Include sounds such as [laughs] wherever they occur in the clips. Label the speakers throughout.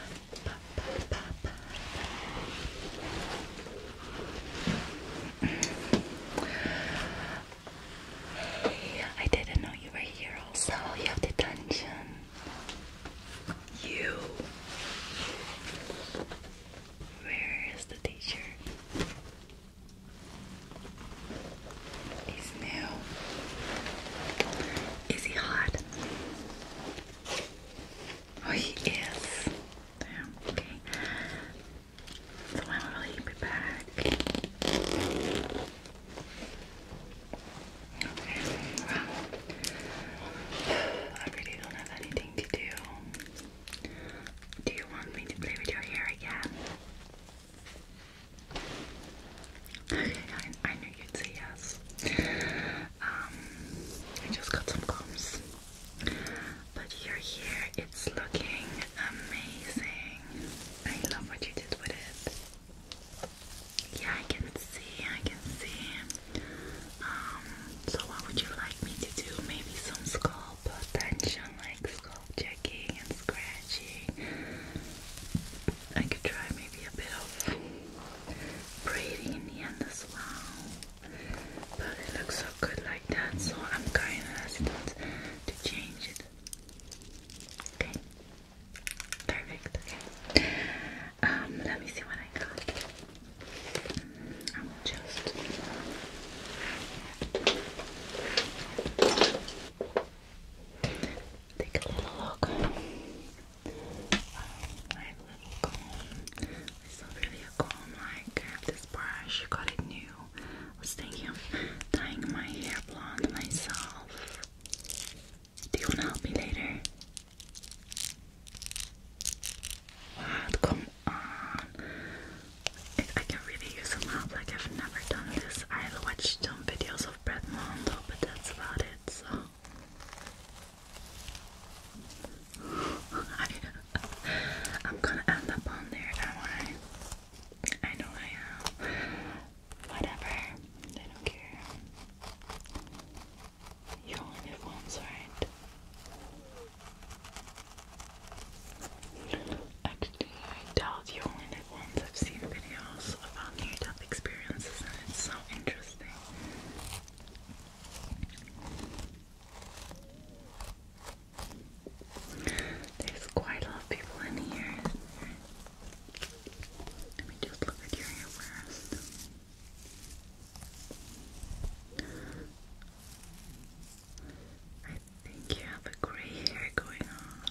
Speaker 1: I didn't know you were here also. You have detention. You. Where is the teacher? He's new. Is he hot? Oh, he is. Damn, okay. So when will he be back? Okay, well, I really don't have anything to do. Do you want me to play with your hair again? Okay, I, I you say yes. Um, I just got some combs, but you're here. It's looking amazing. I love what you did with it. Yeah, I can see. I can see. Um, so what would you like me to do? Maybe some scalp attention, like scalp checking and scratching. I could try maybe a bit of braiding in the end as well. But it looks so good like that, so I'm kind of hesitant to change it. Okay, perfect. Okay, um, let me see what I got. I will just. Take a little look. I have a little a comb, I have this brush, got it new. I was thinking of dyeing my hair blonde myself. Do you wanna help me later? Come on. I can really use some help, like I've never done this. I watched some videos of Brett Mondo, but that's about it, so I, am gonna end up on there, am I? know I am. Whatever. I don't care. You only live once, right? Actually, I doubt you only live once. I've seen videos about near death experiences, and it's so interesting. There's quite a lot of people in here. Let me just look at your hair I think you have a gray hair going on.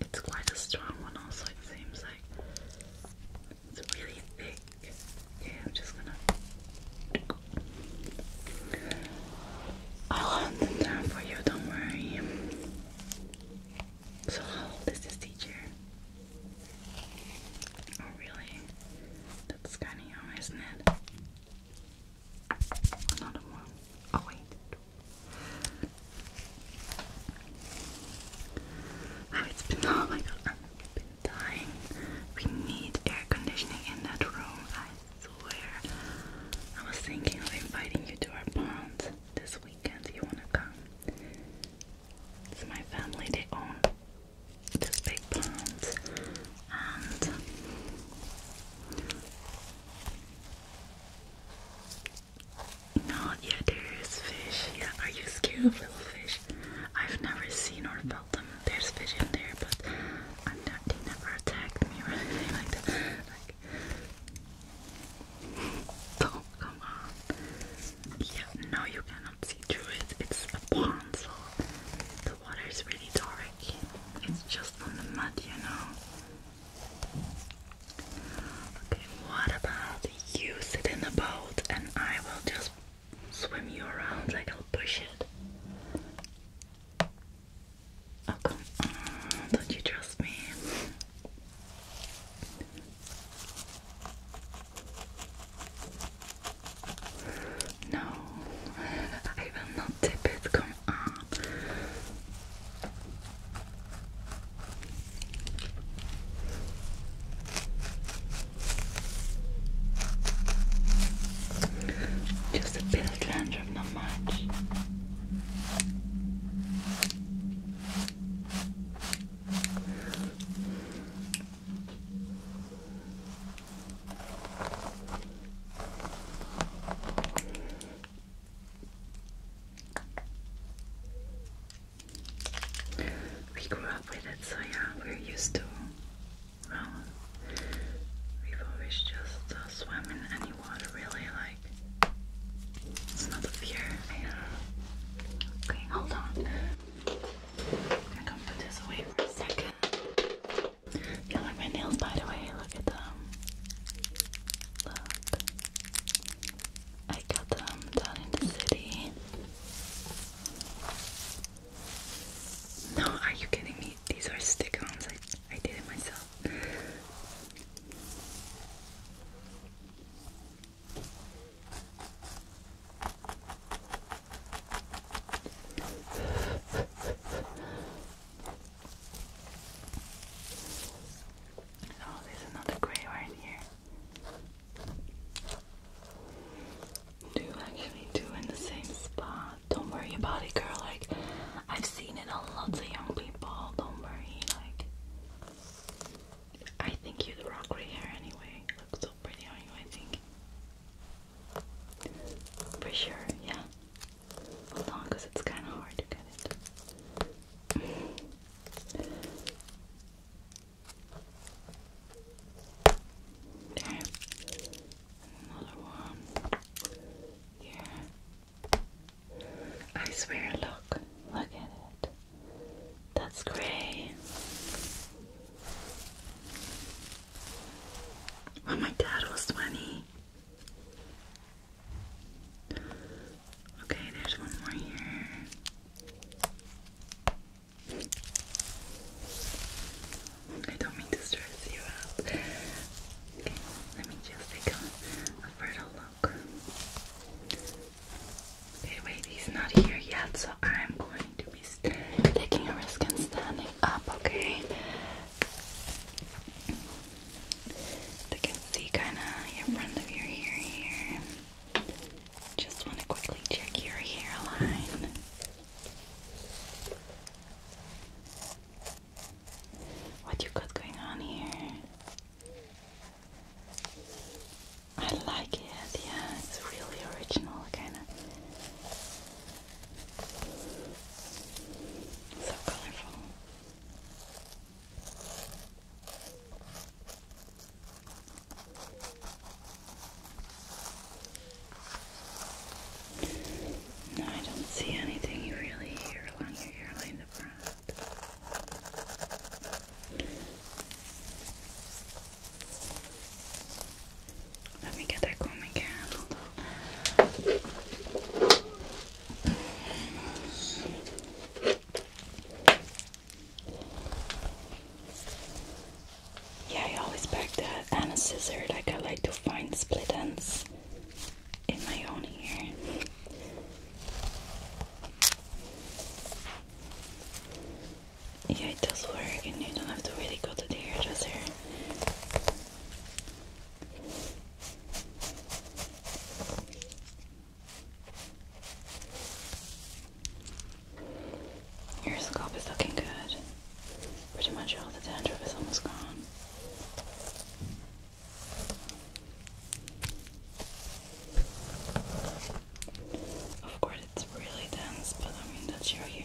Speaker 1: It's quite a strong one, also, it seems like. It's really thick. Okay, I'm just gonna. I'll hold them down for you, don't worry. So, how is teacher? Oh, really? That's kind of young, isn't it? Another one. Oh, wait. Oh, it's been oh my god, I've been dying. We need air conditioning in that room, I swear. I was thinking of inviting you to our pond this weekend. You wanna come? It's my family, they own this big pond and no, yeah, there is fish. Yeah, are you scared of little fish? I've never seen or felt them. There's fish in there, but I'm not, they never attack me or [laughs] anything like that. Don't come on. Yeah, no, you cannot see through it. It's a pond, so the water is really dark. It's just on the mud, you know. Okay, what about you sit in the boat and I will just swim you around, like I'll push it. Oh, don't you trust me? No, [laughs] I will not tip it, come on. Just a bit of dandruff, not much. We grew up with it, so yeah, we're used to. Well, um, we've always just uh, swam in any water, really. Like, it's not a fear I Okay, hold on. I'm gonna put this away for a second. Yeah, like my nails, by the way. Look at them. Look. I got them down in the city. No, are you kidding me? These are stick I did it myself. Oh, there's another grey right here. Do actually do in the same spot. Don't worry about it, girl. Like I've seen it on lots of young people. Don't worry. Like I think you are the rock gray hair anyway. Looks so pretty on you. I think for sure. Yeah. Hold it's kind of hard to get it. Okay, another one. Yeah. I swear, look. Look at it. That's great. When my dad was 20, Okay, there's one more here. I don't mean to stress you out. Okay, let me just take a, a look. Okay, wait, he's not here yet, so I'm going to be taking a risk and standing up, okay? So you can see kind of in front of your ear here. Just want to quickly check your hairline. What you got going on here? I like it, yeah, it's really original, kind of. So colorful. No, I don't see anything you really hear along your hairline the front. Let me get that comb again. Yeah, I always pack that and a scissor. Like I like to find split ends in my own hair. Yeah, it does work, and you don't have to really go to the hairdresser. Your scalp is looking good. Pretty much all the dandruff is almost gone. Of course, it's really dense, but I mean, that's your hair.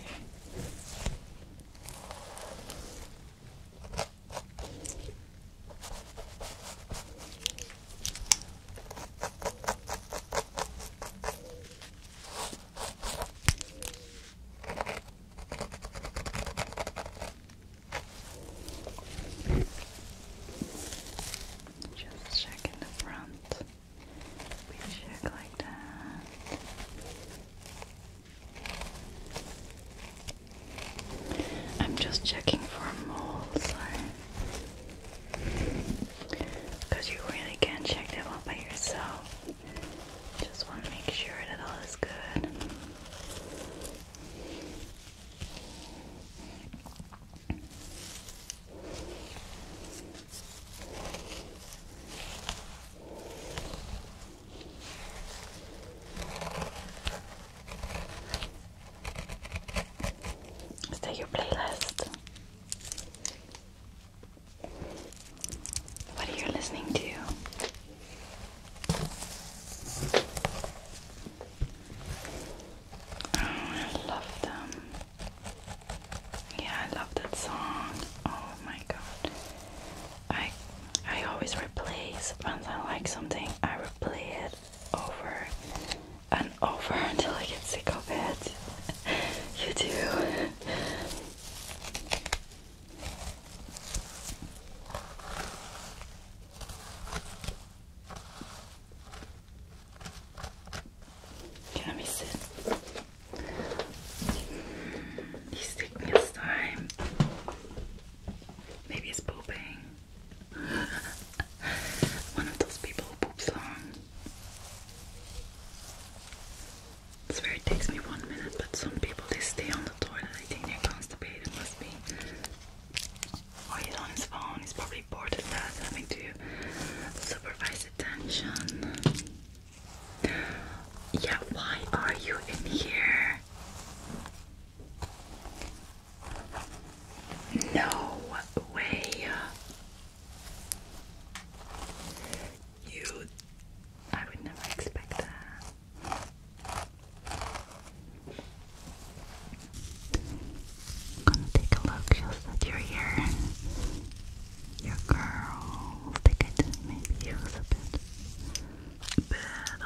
Speaker 1: Just check in the front. We check like that. I'm just checking for moles. Because you really can't check them out by yourself. Just want to make sure that all is good. Is that your playlist? What are you listening to? Oh, I love them. Yeah, I love that song. Oh my god. I I always replace once I like something I replay it over and over [laughs] until I get sick of it. [laughs] you do. Can I miss He's taking his time. Maybe he's pooping. [laughs] One of those people poops long. I swear takes me one minute, but some people they stay on the toilet. I think they're constipated, must be. Or oh, he's on his phone, he's probably bored of that, having to supervise attention. Yeah, why are you in here? No way. You. I would never expect that. I'm gonna take a look just that you're here your curls. They could maybe use a bit better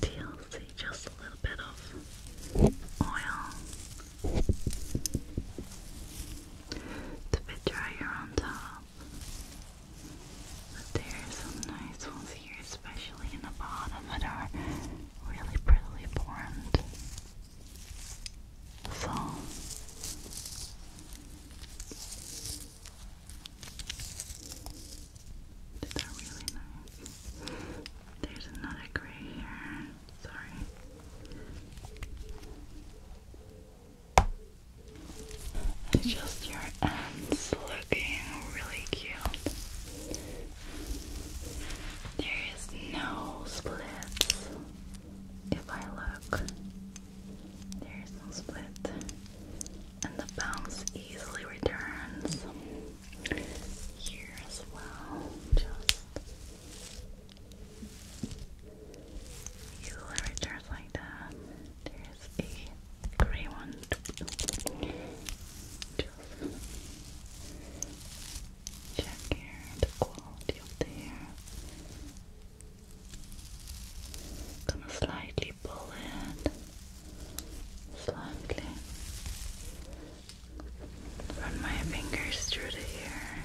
Speaker 1: TLC, just a little bit of oil to bit drier on top. But there are some nice ones here, especially in the bottom that are really prettily formed foam. These really nice. There's another gray here. Sorry. just your ends looking really cute. There is no splits if I look, there is no split, and the bounce easily returns here as well. Just easily returns like that. There is a gray one. Just Check here the quality of the hair. Gonna slightly pull it. Slightly. Run my fingers through the hair.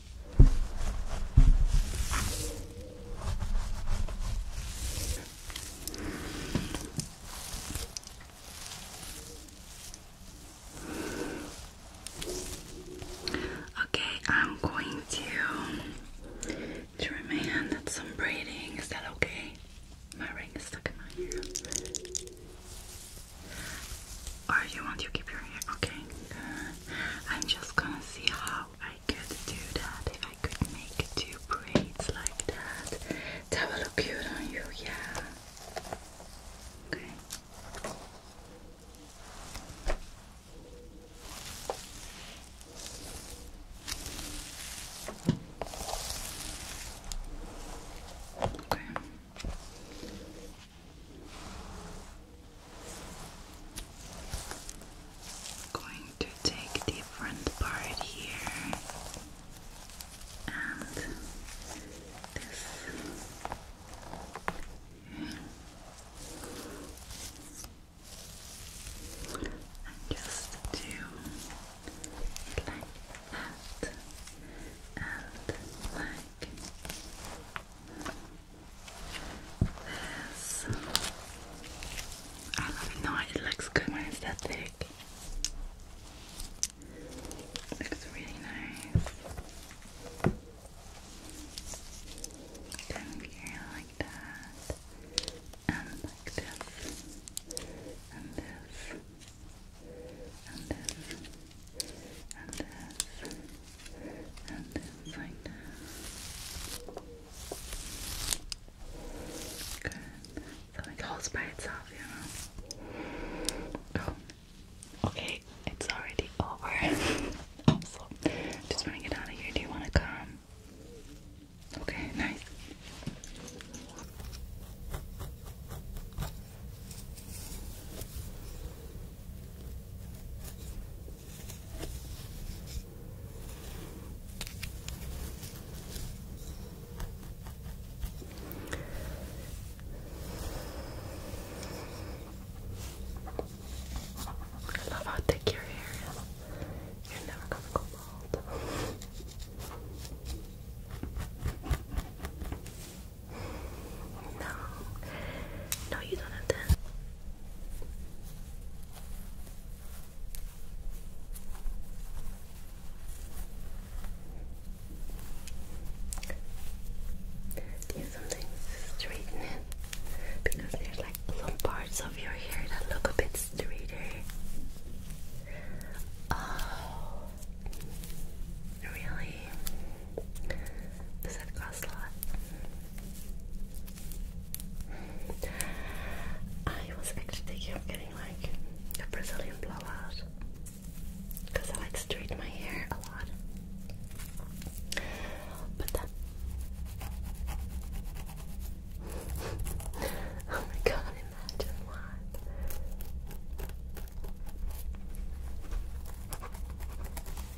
Speaker 1: Okay, I'm going to try my hand some braiding. Is that okay? My ring is stuck in my hair. Or you want to keep your hair? Okay, I'm just gonna see how I could do that. If I could make two braids like that, that would look cute on you, yeah. Okay. Okay. Going to take the front part here and this. And just do it like that and like it. No, it looks good when it's that thick. looks really nice. like that. And like this. And this. And this and this, and this like that. Good. So holds by itself, you know. Okay, it's already over. [laughs] also, just want to get out of here. Do you want to come? Okay, nice. I love how thick your hair is. You're never gonna go bald. No. No, you don't have to. Do you sometimes Because there's like some parts of your hair that look a bit straighter. Oh, really? Does that cause I was actually thinking of getting like a Brazilian blowout because I like straighten my hair a lot. But that. [laughs] oh my imagine what.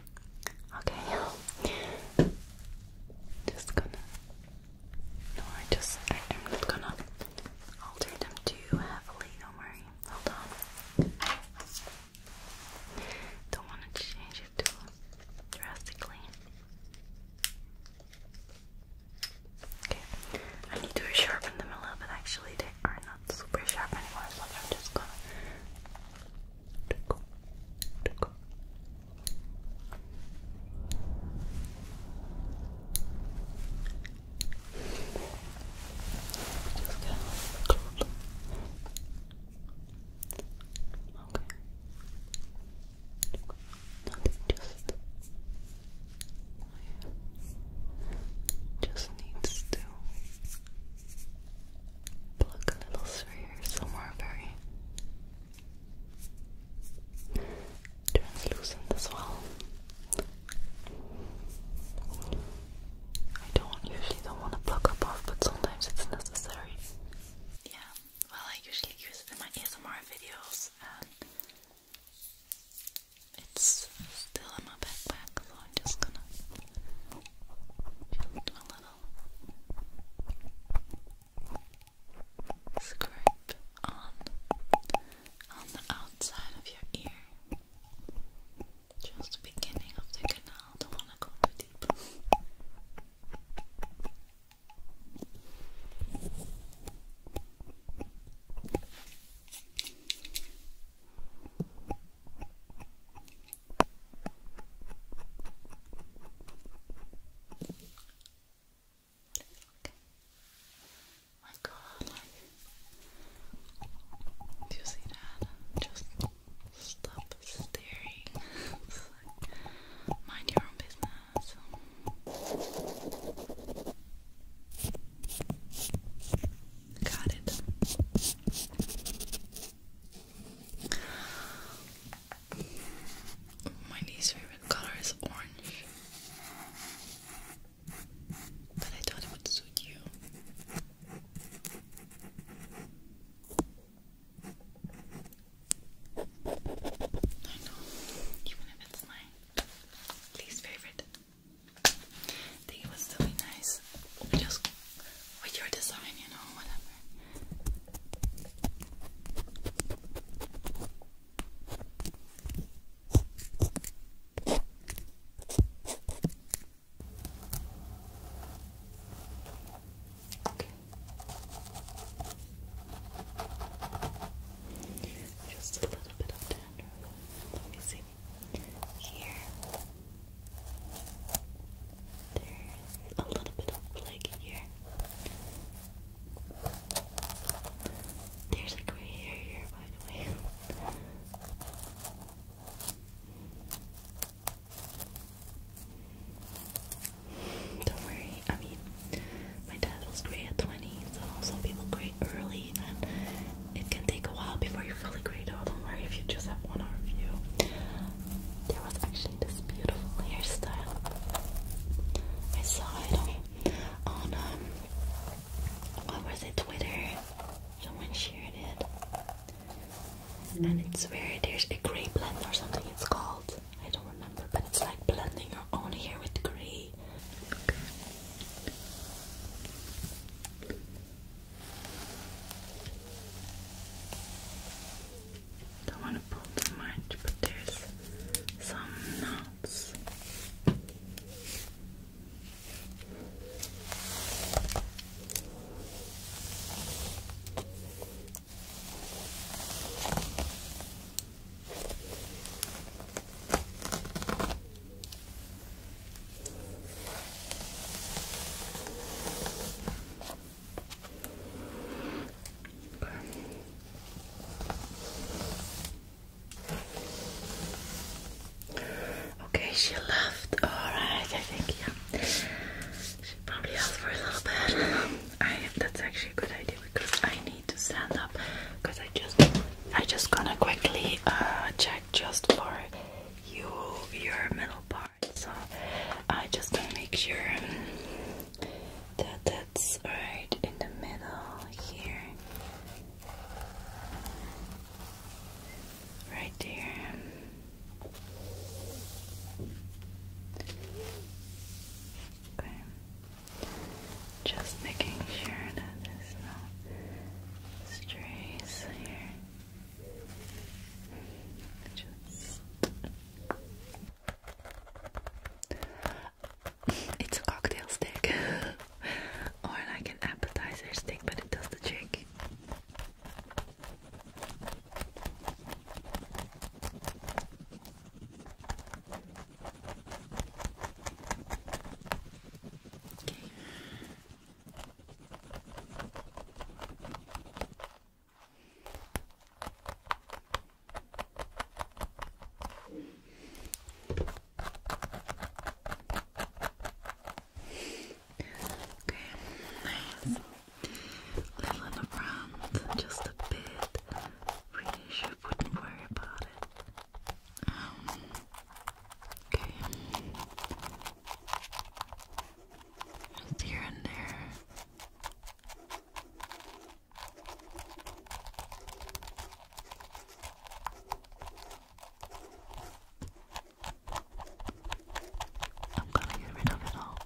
Speaker 1: Okay. Just gonna. No, I just. I, am not gonna alter them too heavily. Don't worry. Hold on. Don't want to change it too drastically. Okay. I need to sharpen them a little bit. Actually, they are not super sharp anymore, so I'm just gonna tickle, tickle. Just get Okay. Nothing, just just needs to pluck a little sphere somewhere very translucent as well. I don't usually don't want to pluck above, but sometimes it's necessary. Yeah, well, I usually use it in my ASMR videos, and it's still in my backpack, so I'm just gonna do a little scrape on on the outside of your ear. Just the beginning of the canal, don't wanna go too deep. My do you see that? Just stop staring. mind your own business. Got it. My least favorite color is orange. But I thought it would suit you. I know, even if it's my least favorite. I think it would still be nice just with your design, you know, whatever. Okay. Just a little bit of dandruff. Let me see here, there's a little bit of leg here. There's a gray hair here, by the way. [laughs] Don't worry, I mean, my dad was gray at 20, so some people gray early it can take a while before you're fully grayed out. Don't worry if you just have one hour view. There was actually this beautiful hairstyle. I saw it on, um what was it, Twitter? Someone shared it. And it's where there's a grey blend or something it's called. I don't remember, but it's like blending your own hair with grey. Don't want to pull too much, but there's some knots. Okay. she left. All right, I think yeah. She probably asked for a little bit. I that's actually a good idea because I need to stand up because I just I just gonna quickly uh, check just for you your middle part. So I just gonna make sure um, that that's right in the middle here, right there. Okay. Just making sure that there's no strays here. it's a cocktail stick [laughs] or like an appetizer stick, but it does the trick. Okay. Okay, nice. Little in the front, just a bit. Really, should wouldn't worry about it okay. here and there. I'm gonna get rid of it all.